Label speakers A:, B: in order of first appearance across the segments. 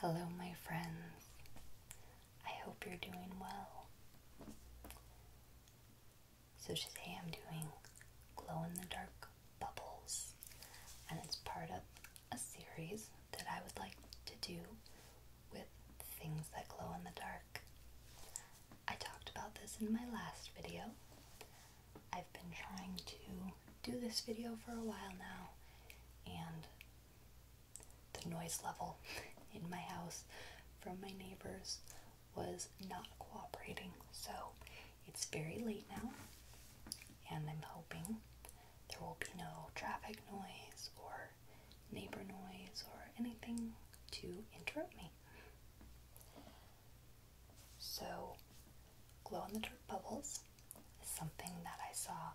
A: Hello, my friends. I hope you're doing well. So, today I'm doing glow in the dark bubbles, and it's part of a series that I would like to do with things that glow in the dark. I talked about this in my last video. I've been trying to do this video for a while now, and the noise level in my house from my neighbors was not cooperating. So it's very late now, and I'm hoping there will be no traffic noise or neighbor noise or anything to interrupt me. So, glow in the dark bubbles is something that I saw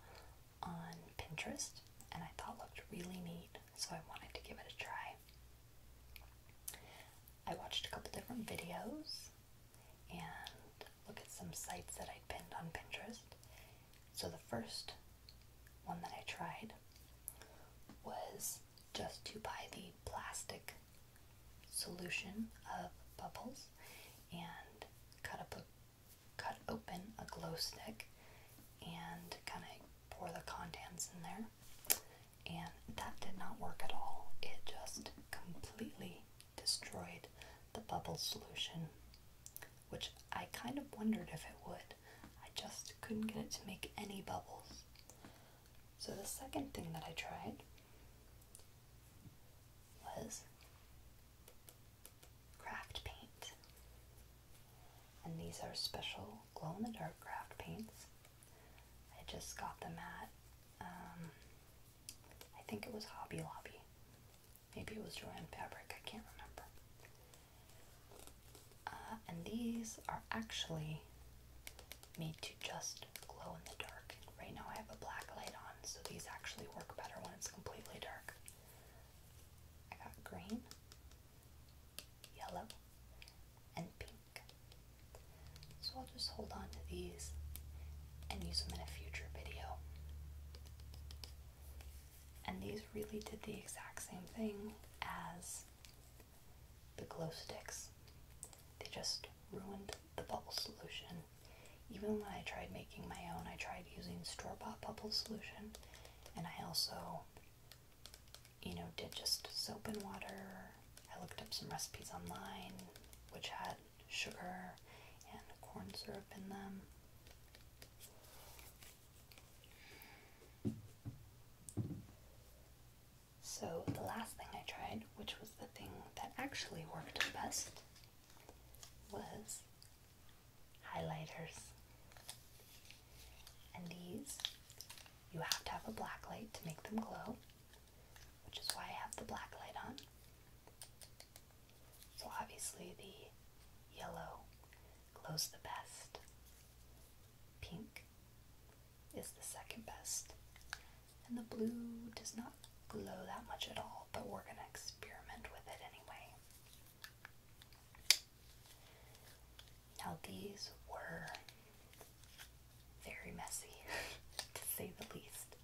A: on Pinterest and I thought looked really neat, so I wanted to give it a try. I watched a couple different videos and look at some sites that I pinned on Pinterest. So the first one that I tried was just to buy the plastic solution of bubbles and cut up cut open a glow stick and kind of pour the contents in there and that did not work at all it just completely destroyed the bubble solution which i kind of wondered if it would I just couldn't get it to make any bubbles. So the second thing that I tried was craft paint. And these are special glow in the dark craft paints. I just got them at, um, I think it was Hobby Lobby. Maybe it was Joann Fabric, I can't remember. Uh, and these are actually made to just glow in the dark. Right now I have a black light on, so these actually work better when it's completely dark. I got green, yellow, and pink. So I'll just hold on to these and use them in a future video. And these really did the exact same thing as the glow sticks. They just ruined the bubble solution. Even when I tried making my own, I tried using store-bought bubble solution, and I also, you know, did just soap and water. I looked up some recipes online which had sugar and corn syrup in them. So, the last thing I tried, which was the thing that actually worked best, was highlighters. And these, you have to have a black light to make them glow, which is why I have the black light on. So, obviously, the yellow glows the best pink is the second best. And the blue does not glow that much at all, but we're going to experiment with it anyway. Now, these were very messy, to say the least.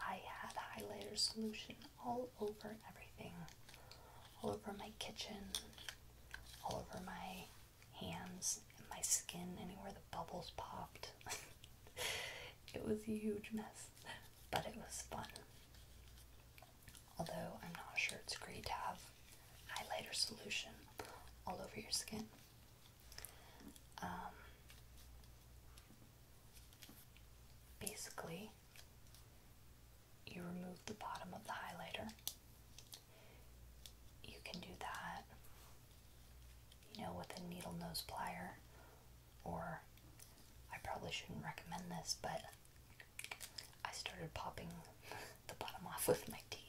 A: I had highlighter solution all over everything, all over my kitchen, all over my hands and my skin, anywhere the bubbles popped. it was a huge mess, but it was fun. Although I'm not sure it's great to have highlighter solution all over your skin. Um, basically, you remove the bottom of the highlighter. You can do that, you know, with a needle nose plier, or I probably shouldn't recommend this, but I started popping the bottom off with my teeth.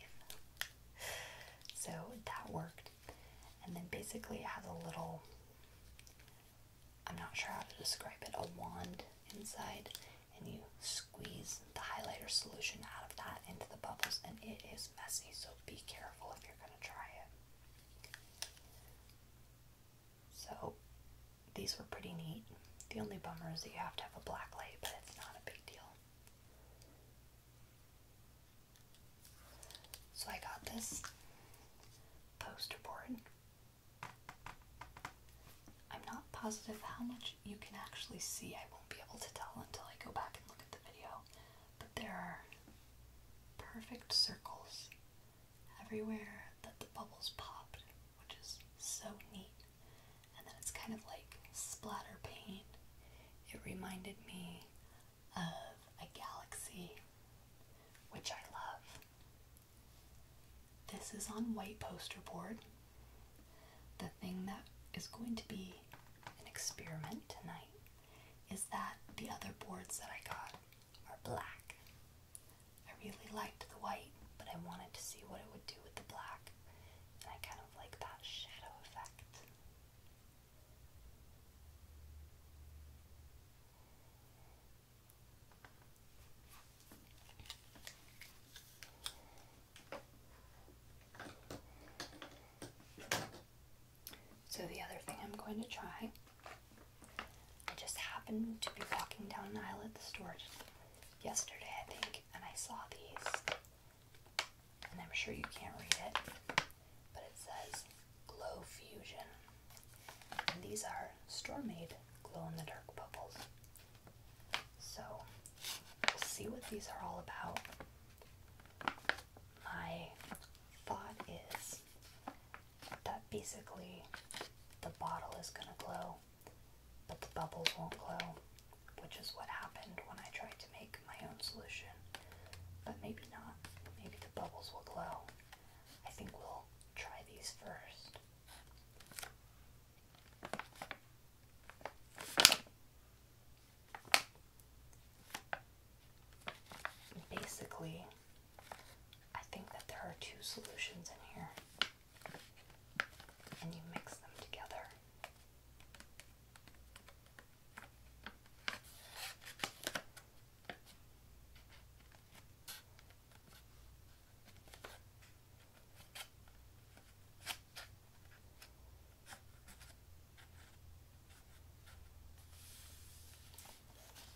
A: So that worked. And then basically, it has a little I'm not sure how to describe it a wand inside and you squeeze the highlighter solution out of that into the bubbles, and it is messy, so be careful if you're going to try it. So, these were pretty neat. The only bummer is that you have to have a black light, but it's not a big deal. So, I got this poster board I'm not positive how much you can actually see. I won't be able to tell until I go back and look at the video. But there are perfect circles everywhere that the bubbles popped, which is so neat. And then it's kind of like splatter paint. It reminded me of a galaxy, which I love. This is on white poster board. The thing that is going to be an experiment tonight is that the other boards that I got are black. I really liked the white, but I wanted to see what it would do with the black. And I kind of like that shadow effect. So, the other thing I'm going to try, I just happened to be walking down an aisle at the store yesterday, I think, and I saw these. And I'm sure you can't read it, but it says Glow Fusion. And these are store made glow in the dark bubbles. So we'll see what these are all about. My thought is that basically the bottle is going to glow, but the bubbles won't glow, which is what happened when I tried to make my own solution. But maybe not. Maybe the bubbles will glow. I think we'll try these first. Basically, I think that there are two solutions in here, and you mix them together.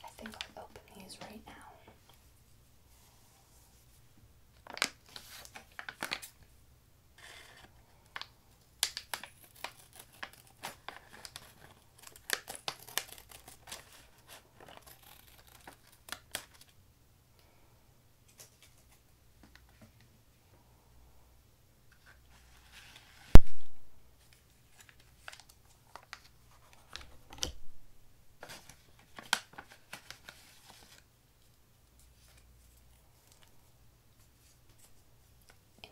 A: I think I'll open these right now.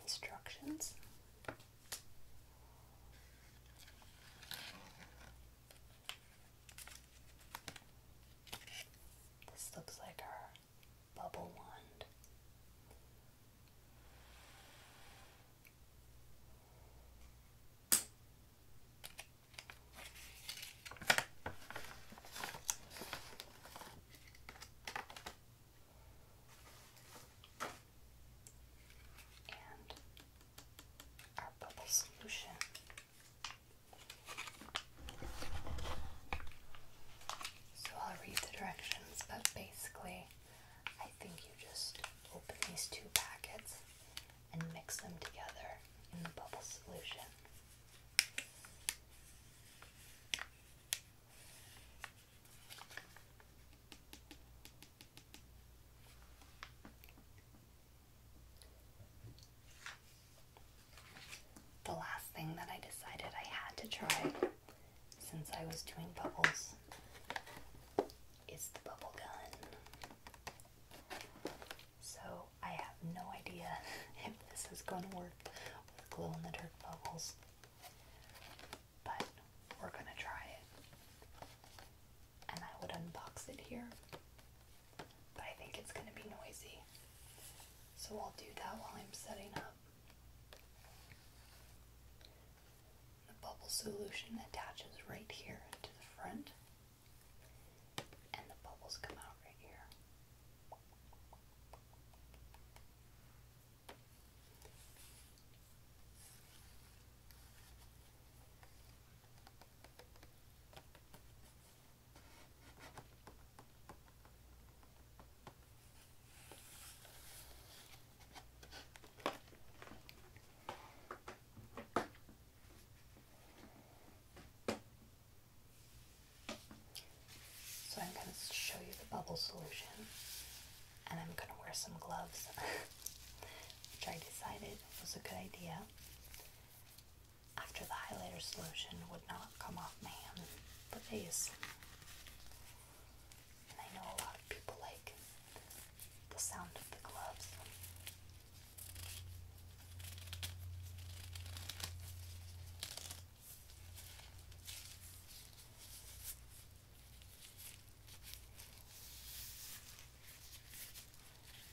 A: Instructions. This looks like our bubble wand. And our bubble solution so I'll read the directions, but basically, I think you just open these two packets and mix them together in the bubble solution. The last thing that I decided I had to try since I was doing bubbles is the bubble gun. So I have no idea if this is going to work with glow in the dark bubbles, but we're going to try it and I would unbox it here. But I think it's going to be noisy. So I'll do that while I'm setting up. The bubble solution attaches right here to the front, and the bubbles come out right here. So I'm going to show you the bubble solution and I'm going to wear some gloves which I decided was a good idea after the highlighter solution would not come off my hand, but face. I know a lot of people like the sound of the gloves.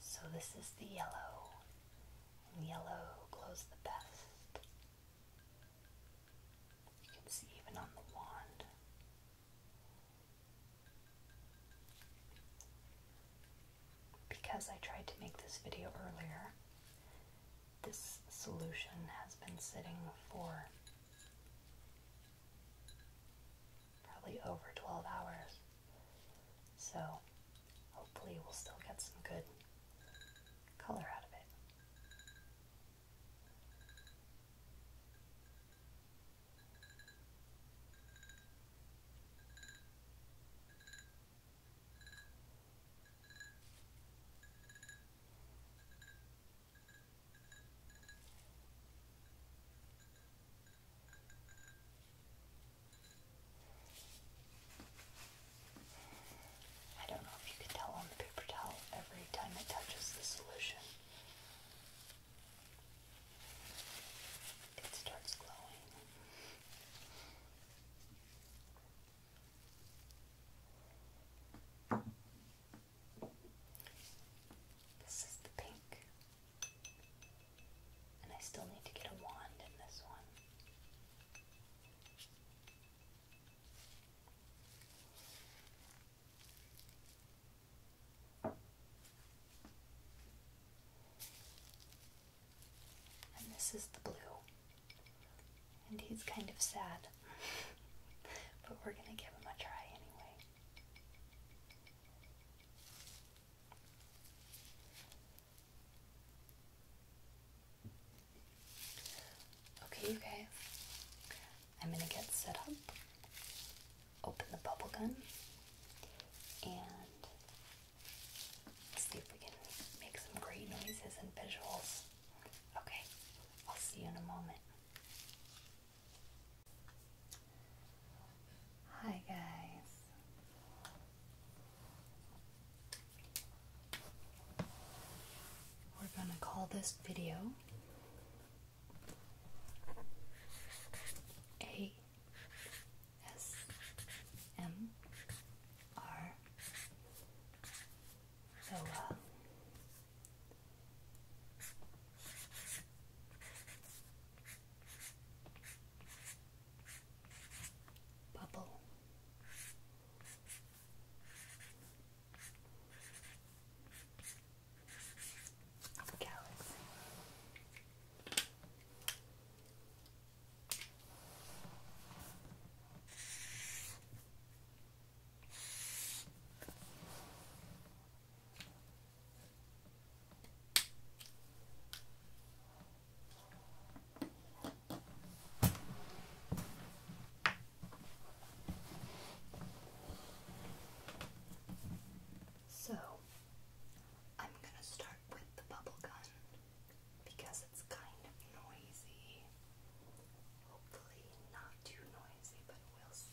A: So this is the yellow, and yellow glows the best. You can see even on the wand because I tried to make this video earlier, this solution has been sitting for probably over 12 hours. So hopefully we'll still get some good color out of it. I don't know if you can tell on the paper towel every time it touches the solution. It starts glowing. This is the pink. And I still need to get a wand in this one. And this is the blue. And he's kind of sad. but we're going to give him a try anyway. Okay, you I'm going to get set up, open the bubble gun, and see if we can make some great noises and visuals. Okay, I'll see you in a moment. Hi, guys. We're going to call this video a S M R Soa Bubble Galaxy so, I'm going to start with the bubble gun because it's kind of noisy. Hopefully, not too noisy, but we'll see.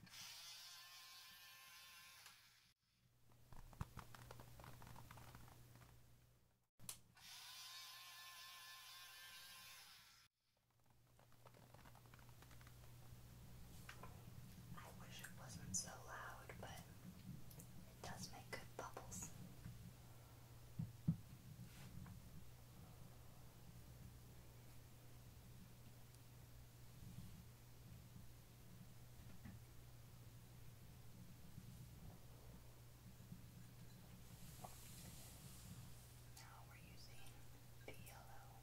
A: I wish it wasn't so loud, but it does make good bubbles. Now we're using the yellow. Now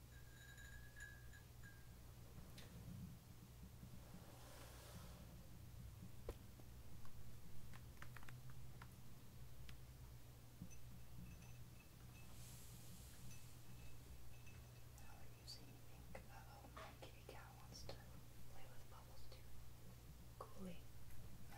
A: Now we're using ink. Uh oh, my kitty cat wants to play with bubbles too. Coolie. No.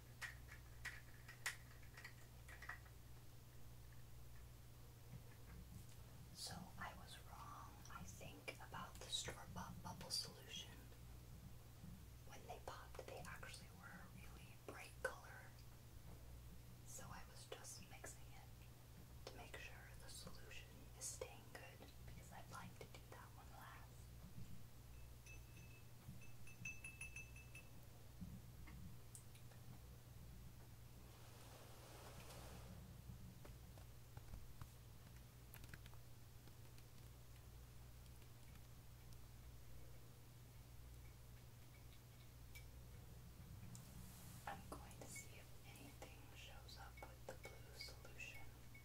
A: So I was wrong, I think, about the store-bought bubble solution. When they popped, they actually were a really bright color. So I was just mixing it to make sure the solution is staying good because i like to do that one last. I'm going to see if anything shows up with the blue solution. Okay,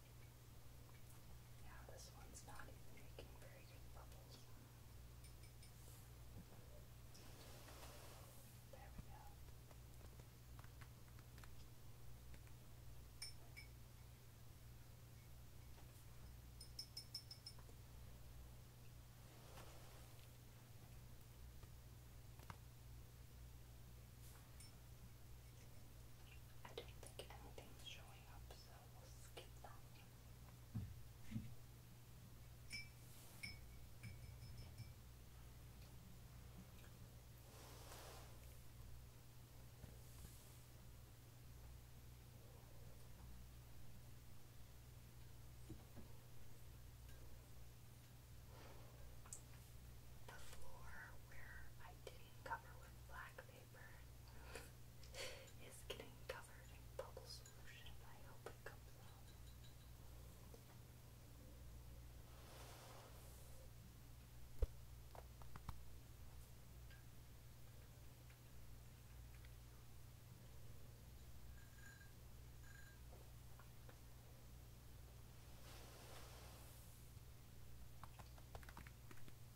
A: Now this one's not even making very good bubbles. There we go. I don't think anything's showing up, so we'll skip that The floor where I didn't cover with black paper is getting covered in bubble solution. I hope it comes out.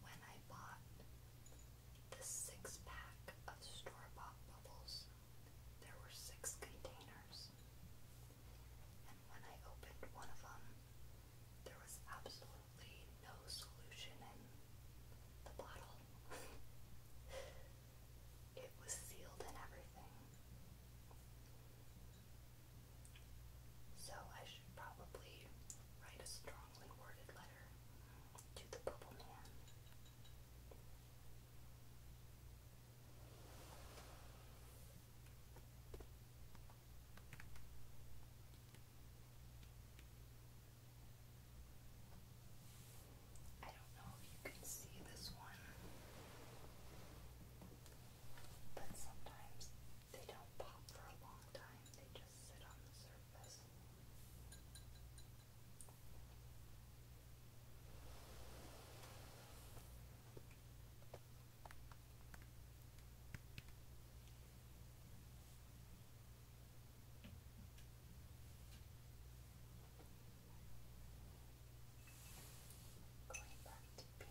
A: When I bought the six pack of store bought bubbles, there were six containers. And when I opened one of them, there was absolutely no solution in the bottle. It was sealed and everything. So I should probably write a strongly worded letter to the Purple Man. I don't know if you can see this one, but sometimes they don't pop for a long time, they just sit on the surface. Going back to pink.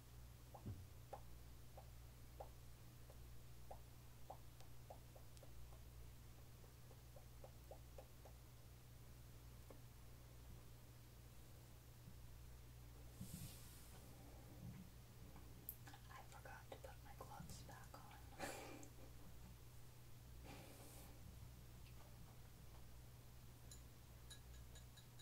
A: I forgot to put my gloves back on.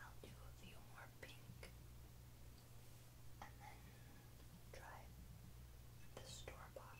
A: I'll do a few more pink and then try the store bought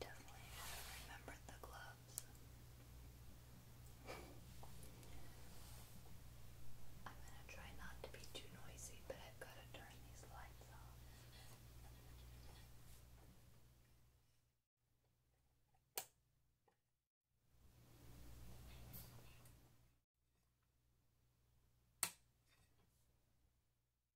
A: Definitely should remembered the gloves. I'm gonna try not to be too noisy, but I've gotta turn these lights off.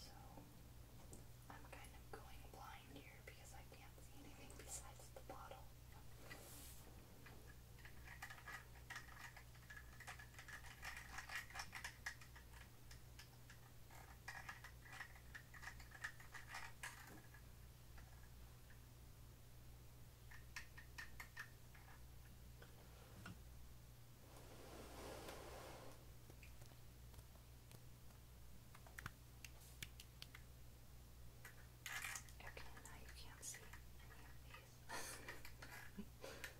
A: So I'm kind of going blind here because I can't see anything besides the bottle. Okay, now you can't see any of these.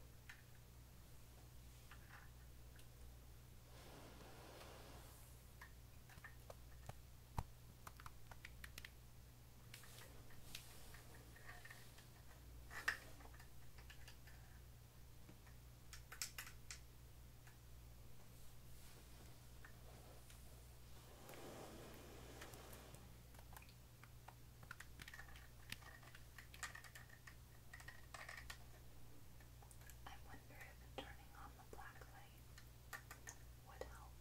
A: I wonder if turning on the black light would help. I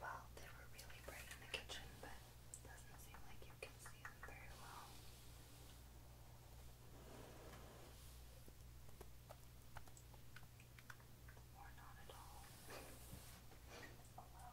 A: Well, they were really bright in the kitchen, but doesn't seem like you can see them very well. Or not at all. oh, well.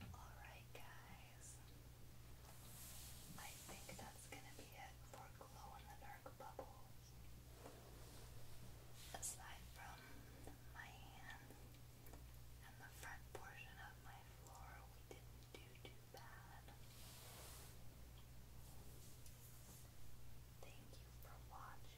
A: Alright, guys. I think that's gonna be it for glow in the dark bubbles. Aside from my hand and the front portion of my floor, we didn't do too bad. Thank you for watching.